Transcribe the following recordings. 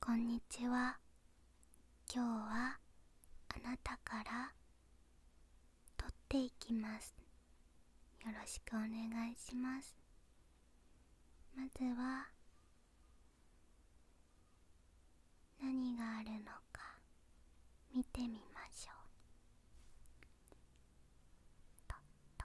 こんにちは今日はあなたからとっていきますよろしくお願いしますまずは何があるのか見てみましょうとと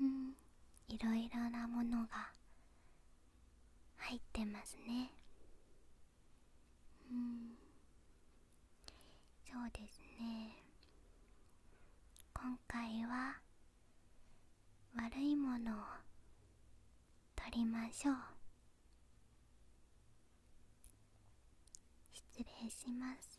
うんいろいろなものが入ってますねうんそうですね今回は悪いものを取りましょう失礼します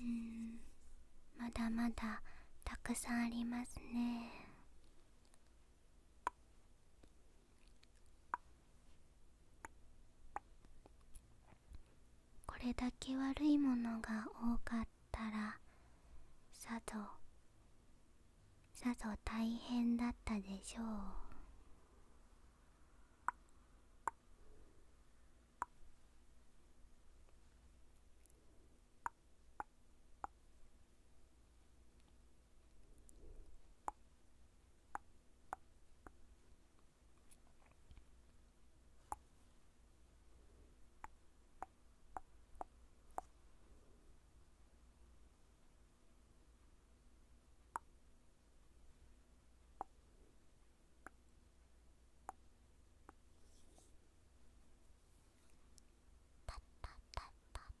うんまだまだたくさんありますねこれだけ悪いものが多かったらさぞさぞ大変だったでしょうパッパッパッパッ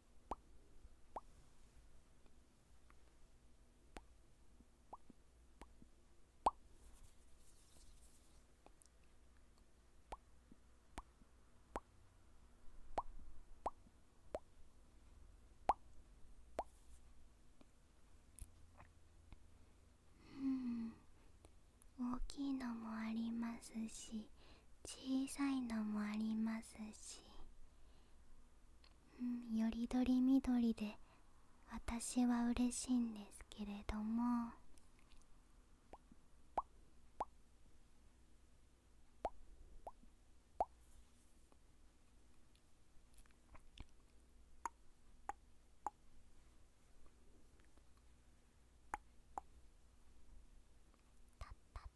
うん大きいのもありますし小さいのもありますし、うん、よりどりみどりで私は嬉しいんですけれどもたった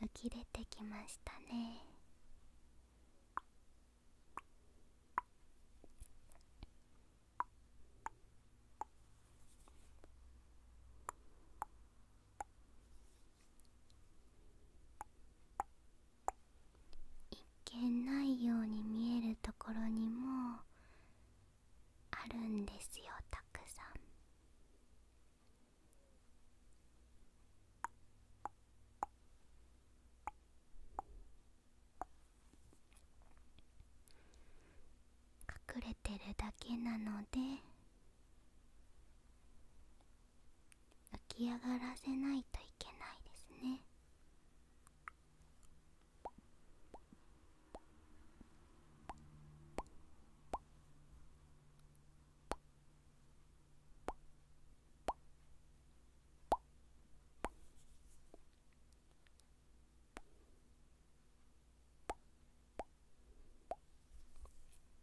浮き出てきましたね一見ないように見えるところにもあるんですよたくさん。隠れてるだけなので浮き上がらせないといけないですね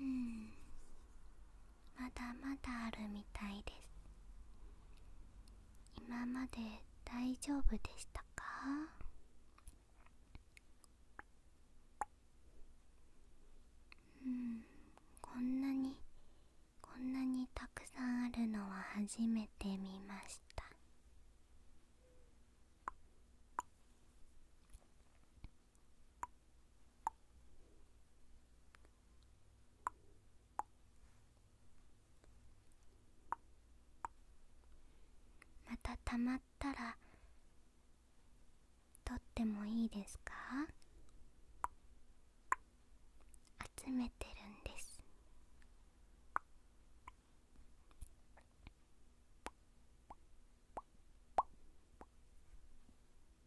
うんまだまだあるみたいです今まで大丈夫でしたかうんこんなにこんなにたくさんあるのは初めて見ましたまたたまったらとってもいいですか集めてるんです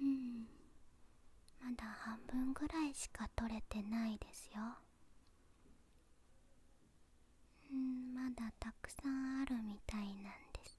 うんまだ半分ぐらいしか取れてないですようんまだたくさんあるみたいなんです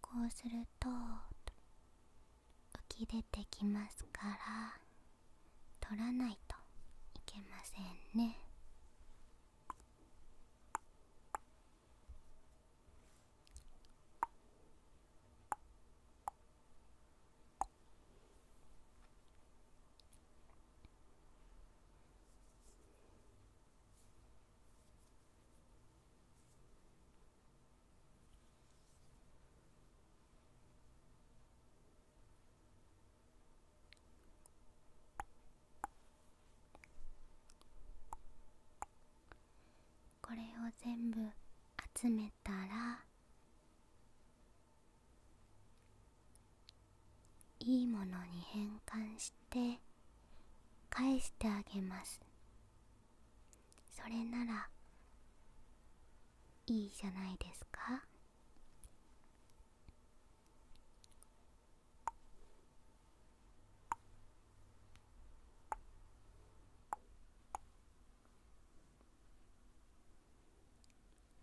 こうすると浮き出てきますから取らないといけませんねこれを全部集めたらいいものに変換して返してあげますそれならいいじゃないですか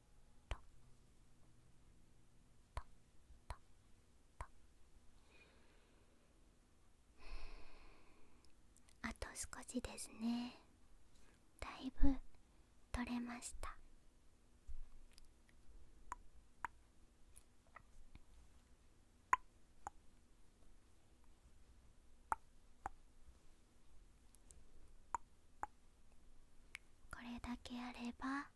タタタタあと少しですねだいぶ取れましたあこれだけあれば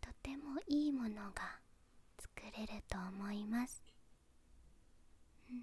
とてもいいものが作れると思います、うん、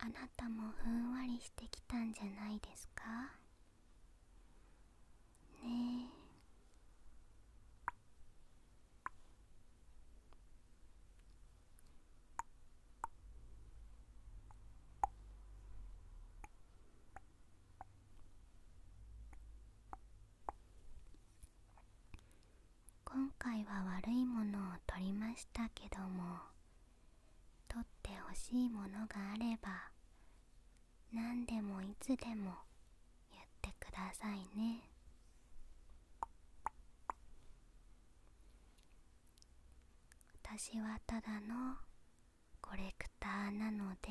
あなたもふんわりしてきたんじゃないですかねえ今回は悪いものを取りましたけども取ってほしいものがあれば何でもいつでも言ってくださいね私はただのコレクターなので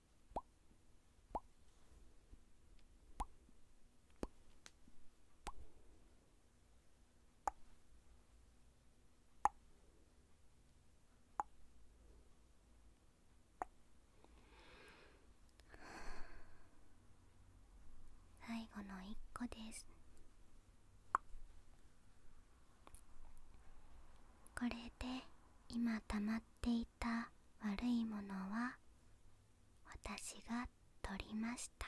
最後の一個ですこれで今たまっっていた悪いものは私が取りました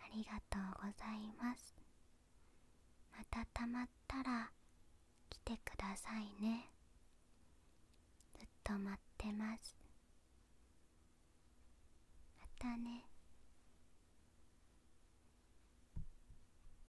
ありがとうございますまたたまったら来てくださいねずっと待ってますまたね